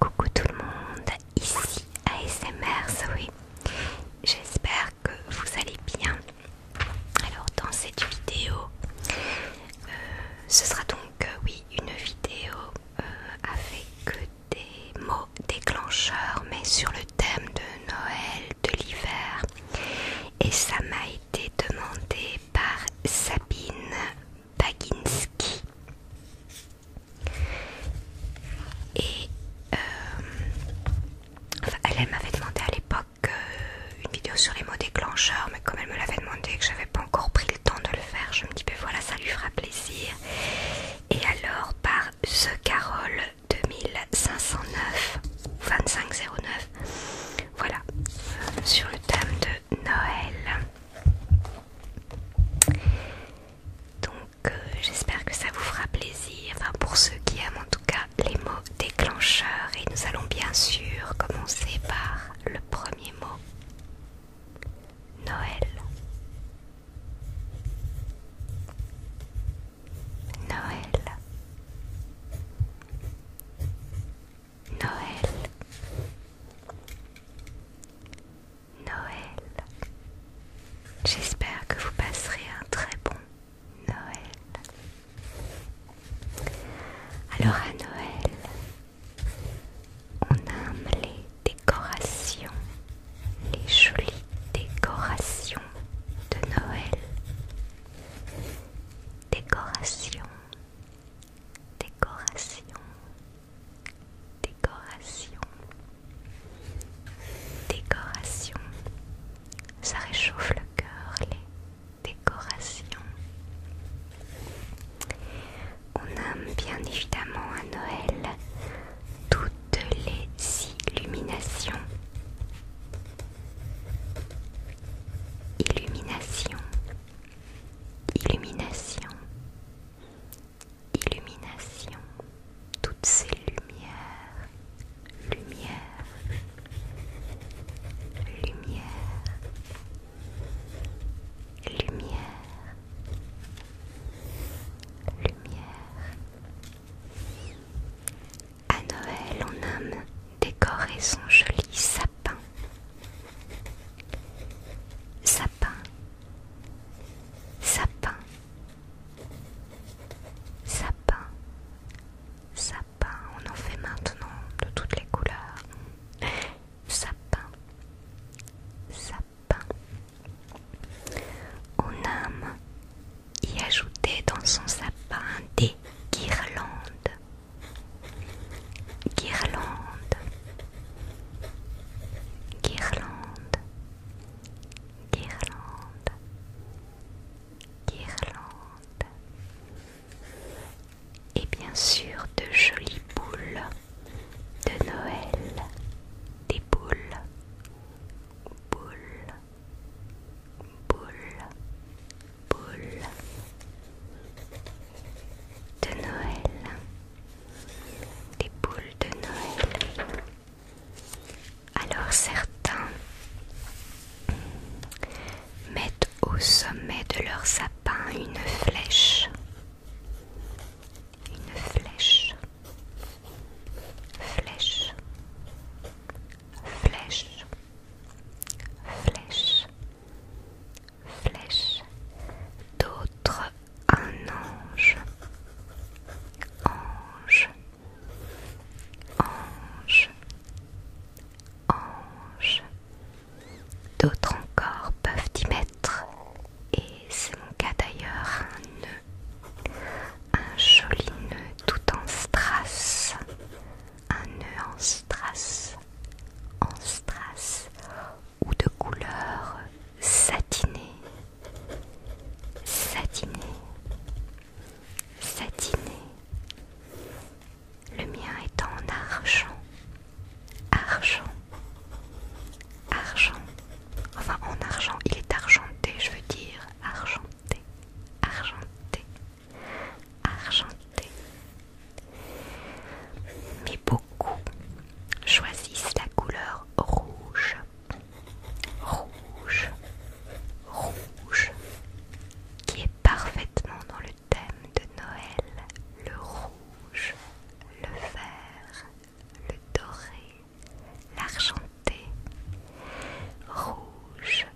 Coucou tout le monde, ici ASMR Zoé. J'espère que vous allez bien. Alors dans cette vidéo, euh, ce sera donc euh, oui une vidéo euh, avec des mots déclencheurs mais sur le thème de Noël, de l'hiver et ça m'a été demandé par Sabine Baginski. Et euh, elle, m'avait demandé à l'époque euh, une vidéo sur les mots déclencheurs, mais comme elle me l'avait demandé et que j'avais pas encore pris le temps de le faire, je me dis ben voilà, ça lui fera plaisir. Et alors par The Carole 2509 2509 voilà euh, sur le thème de Noël donc euh, j'espère que ça vous fera plaisir pour ceux qui aiment en tout cas les mots déclencheurs et nous allons bien sûr commencer par le premier mot Noël Noël Noël Noël J'espère que vous passerez un très bon Noël Alors à Noël on aime les décorations, les jolies décorations de Noël Décoration, décoration, décoration, décoration. Ça réchauffe le cœur, les décorations. On aime bien évidemment à Noël toutes les illuminations Illumination, illumination, illumination, toutes ces lumières, lumière, lumière, lumière, lumière, à Noël, on aime décorer son joli sapin. Sapin, sapin, sapin, sapin. On en fait maintenant de toutes les couleurs. Sapin, sapin. On aime y ajouter dans son sapin des guirlandes. Guirlandes. Guirlandes. Guirlandes. Guirlandes. Et bien sûr de jolies boules de Noël. Des boules. Boules boule, boule de Noël, des boules de Noël. Alors certains mettent au sommet de leur sapin une flèche. Une flèche flèche, flèche, flèche, flèche, d'autres un ange, ange, ange, ange, d'autres encore peuvent y mettre, et c'est mon cas d'ailleurs, un un joli nœud tout en strass, un nœud en strass, en strass ou de couleur satinée, satinée, satinée. Le mien est en argent, argent, argent. Enfin en argent, il est argenté, je veux dire. Argenté, argenté, argenté. Mais beaucoup choisissent la couleur rouge. Rouge, rouge, qui est parfaitement dans le thème de Noël. Le rouge, le vert, le doré, l'argenté, rouge,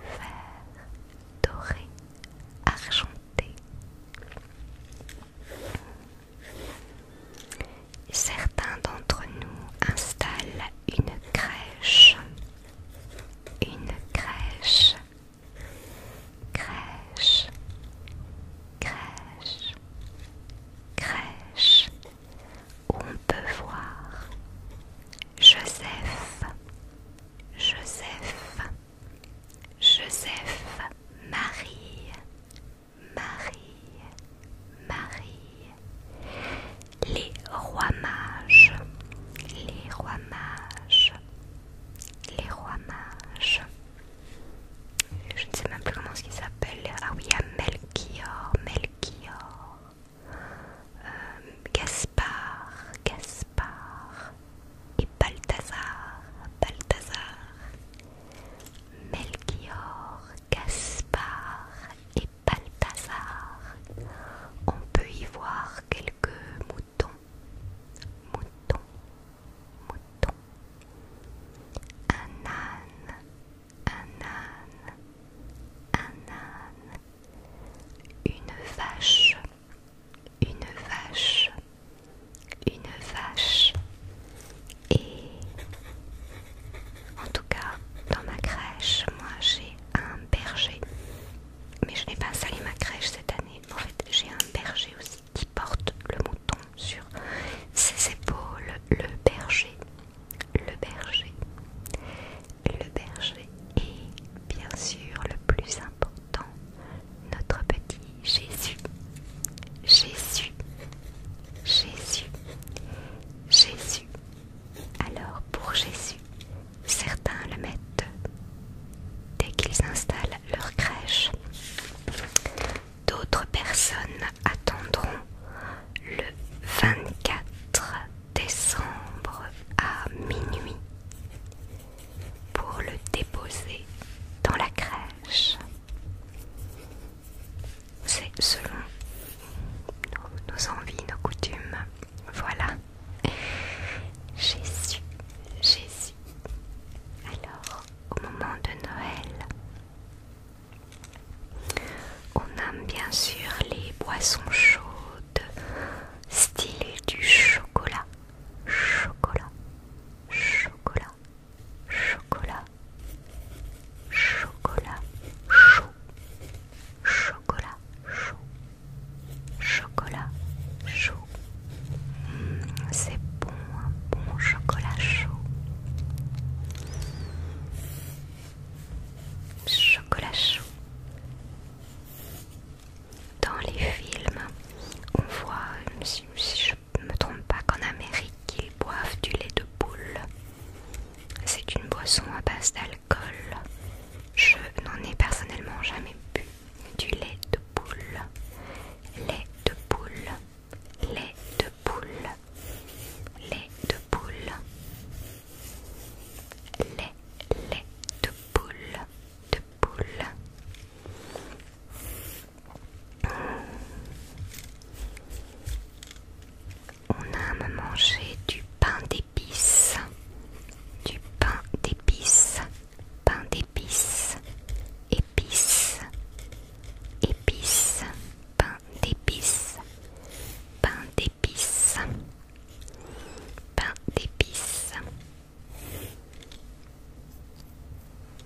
vert, doré, argenté. Certains d'entre nous installent une crèche, une crèche, crèche, crèche, crèche on peut voir Joseph, Joseph, Joseph, Marie, Marie, Marie, les rois mages, les rois mages, les rois mages je ne sais même plus comment ce s'appelle. Ah oui, a Melchior, Melchior, euh, Gaspard, Gaspard et Balthazar, Balthazar, Melchior, Gaspard et Balthazar. On peut y voir quelques moutons, moutons, moutons. Un âne, un âne, un âne, une vache, une vache, une vache. Et en tout cas, dans ma crèche, moi j'ai un berger. Mais je n'ai pas installé ma crèche cette année. En fait, j'ai un berger aussi qui porte le mouton sur ses épaules le berger, le berger, le berger et bien sûr le plus important, notre petit Jésus, Jésus, Jésus, Jésus. Alors pour Jésus, certains le mettent dès qu'ils installent leur crèche D'autres personnes attendront le 24 décembre à minuit pour le déposer dans la crèche. C'est selon nos, envies, nos coutumes. Voilà. Jésus, Jésus. Alors, au moment de Noël, on aime bien sûr les boissons chaudes, style du chocolat, chocolat, chocolat, chocolat, chocolat chaud, chocolat chaud, chocolat chaud. Mmh, c'est bon un bon chocolat chaud. Chocolat chaud. Dans les films, on voit, si, je ne me trompe pas, qu'en Amérique, ils boivent du lait de boule. C'est une boisson à base d'alcool. Je n'en ai personnellement jamais bu. Du lait de boule, Lait de boule, Lait de poule, lait de poule, lait, lait de poule, de poule. On aime manger du pain d'épices, du pain d'épices, pain d'épices, Épice, épices, pain d'épices, pain d'épices, pain d'épices.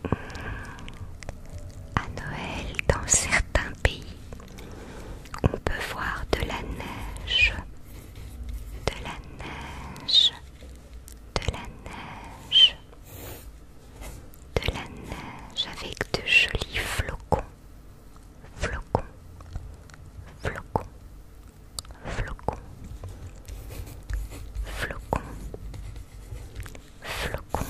À Noël, dans certains pays, on peut voir de la neige, de la neige, de la neige, de la neige avec de jolis flocons, flocons, flocons, flocons, flocons, flocons.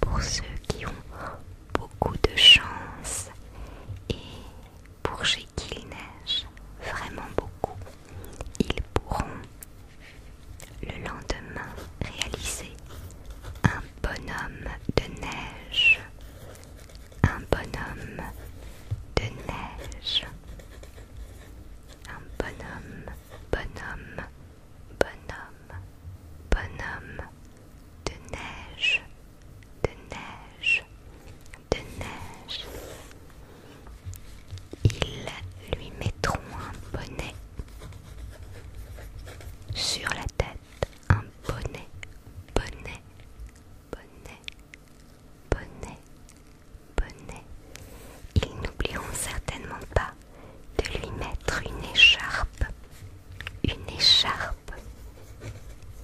Pour ceux qui ont beaucoup de chance et pour chez qui il neige vraiment beaucoup, ils pourront le lendemain, réalisé, un bonhomme de neige, un bonhomme de neige, un bonhomme, bonhomme, bonhomme, bonhomme de neige, de neige, de neige. Ils lui mettront un bonnet sur la tête, un bonnet, bonnet, bonnet, bonnet, bonnet. Ils n'oublieront certainement pas de lui mettre une écharpe, une écharpe,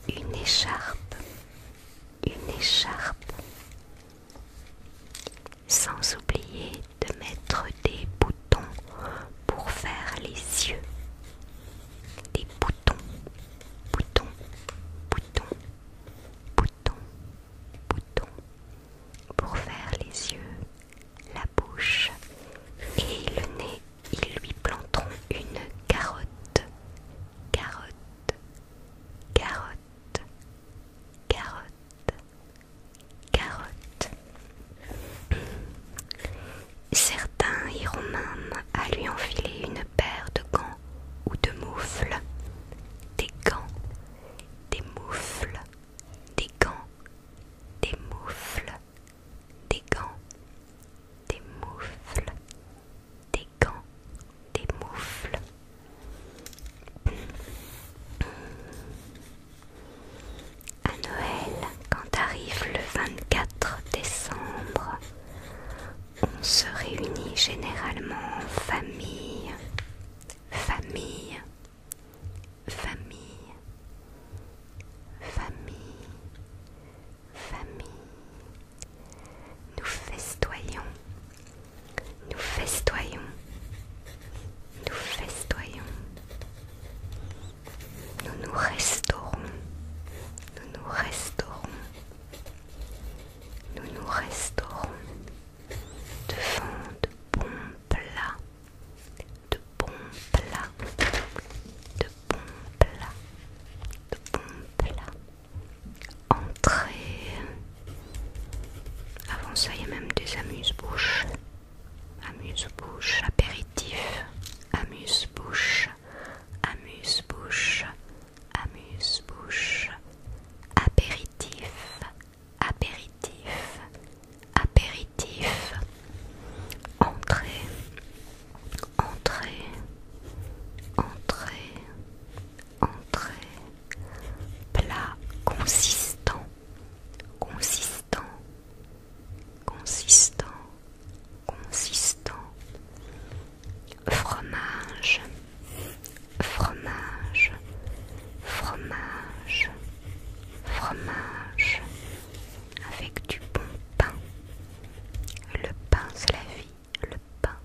une écharpe, une écharpe, sans oublier de mettre des boutons pour faire les yeux. Des boutons, boutons, boutons, boutons, boutons pour faire les yeux, la bouche et le nez. Ils lui planteront une carotte, carotte, carotte carotte, carotte. Certains iront même à lui enfiler une paire de gants ou de moufles. Des gants, des moufles, des gants, des moufles, des gants, des moufles, des gants, des moufles. À Noël, quand arrive le 24 décembre, on se réunit généralement en famille, famille, famille, famille, famille, nous festoyons, nous festoyons, nous festoyons. Nous nous restaurons, nous nous restaurons, nous nous restaurons devant de bons plats, de bons plats, de bons plats, de bons plats entrée. Avant ça, y a même des amuse-bouches. Amuse-bouche, apéritif, amuse-bouche, amuse-bouche, amuse-bouche, apéritif, apéritif, apéritif, entrée, entrée, entrée, entrée, plat consistant, consistant, consistant, consistant, fromage, fromage, fromage, fromage, avec du bon pain. Le pain, c'est la vie le pain,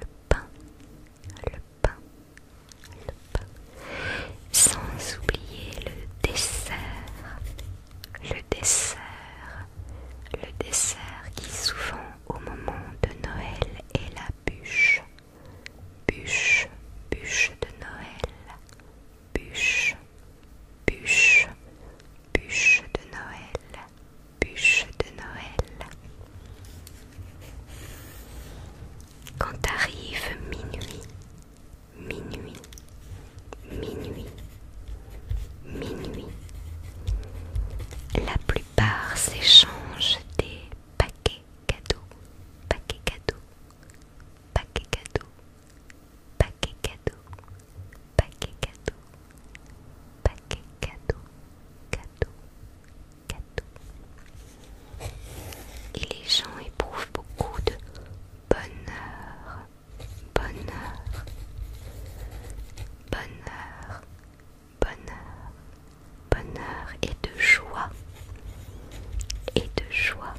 le pain, le pain, le pain. Sans oublier le dessert, le dessert, le dessert qui souvent au moment de Noël est la bûche, bûche, bûche de Noël, bûche, bûche, Bûche de Noël, bûche de Noël. Quand arrive minuit, minuit, minuit, minuit, la plupart s'échangent des paquets cadeaux, paquets cadeaux, paquets cadeaux, paquets cadeaux paquet cadeau, paquet cadeau, cadeau, Et les gens éprouvent beaucoup de bonheur, bonheur, bonheur, bonheur, bonheur et de joie, et de joie,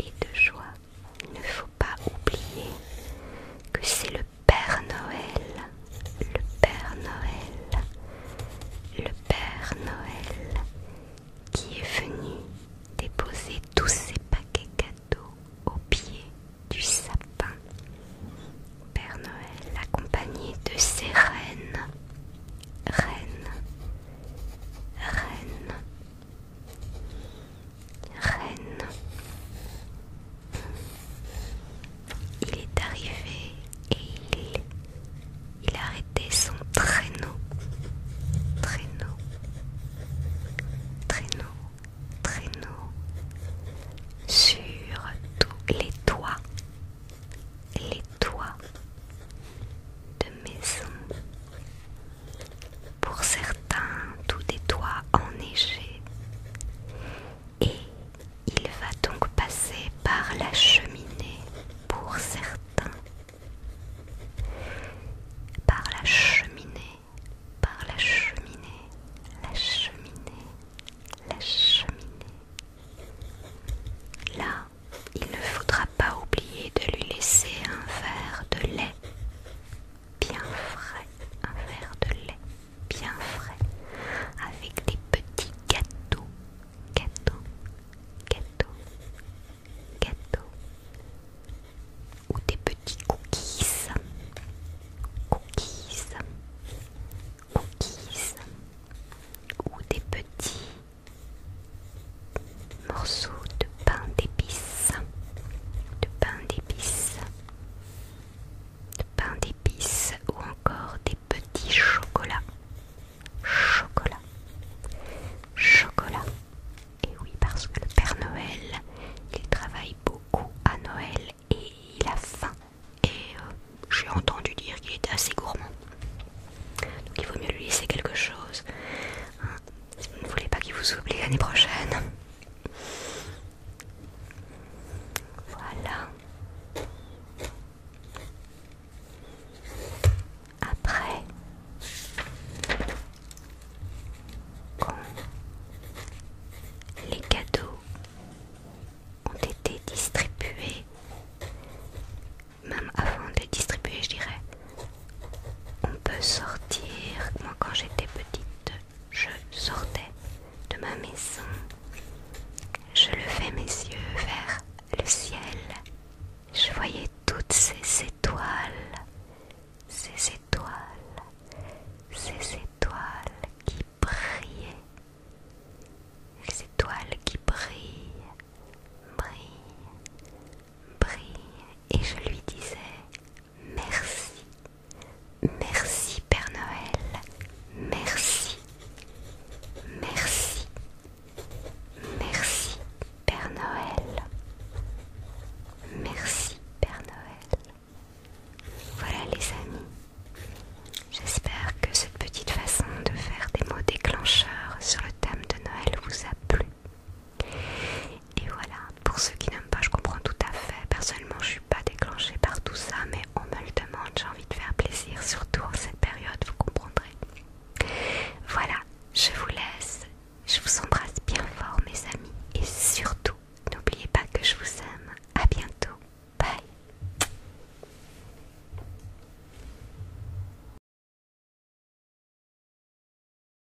et de joie. Il ne faut pas oublier que c'est le Père Noël, le Père Noël, le Père Noël qui est venu déposer tous ses paquets cadeaux au pied du sapin. Père Noël accompagné de ses reines, reines, reines, reines. Il est arrivé et il, il a arrêté son traîneau. Traîneau. Traîneau. Traîneau. Sur tous les toits. Les toits de maison pour certains tout des toits enneigés. Et il va donc passer par la cheminée pour certains. Par la cheminée, par la cheminée, la cheminée, la cheminée. Là, il ne faudra pas oublier de lui laisser un verre de lait bien frais, un verre de lait bien frais, avec des petits gâteaux, gâteaux, gâteaux, gâteaux, ou des petits cookies, cookies, cookies, ou des petits morceaux de pain d'épices, de pain d'épices de pain d'épices ou encore des petits chocolats. Chocolat. Chocolat. Et oui, parce que le Père Noël, il travaille beaucoup à Noël et il a faim. Et euh, j'ai entendu dire qu'il est assez gourmand. Donc il vaut mieux lui laisser quelque chose. Hein. si vous ne voulez pas qu'il vous oublie l'année prochaine. Voilà. Après quand les cadeaux ont été distribués, même avant de les distribuer je dirais, on peut sortir, moi quand j'étais petite, je sortais de ma maison. Je levais mes yeux vers le ciel. Je voyais toutes ces étoiles, ces étoiles, ces étoiles qui brillaient, les étoiles qui brillent, brillent, brillent. Et je lui disais, Merci. Merci Père Noël. Merci. Merci. Merci Père Noël. Merci Père Noël. Voilà les amis. J'espère que cette petite façon de faire des mots déclencheurs sur le thème de Noël vous a plu. Et voilà, pour ceux qui n'aiment pas, je comprends tout à fait. Personnellement, je suis pas déclenchée par tout ça, mais on me le demande, j'ai envie de faire plaisir, surtout en cette période, vous comprendrez. Voilà, je vous laisse. Je vous embrasse bien fort, mes amis, et surtout, n'oubliez pas que je vous aime. À bientôt. Bye.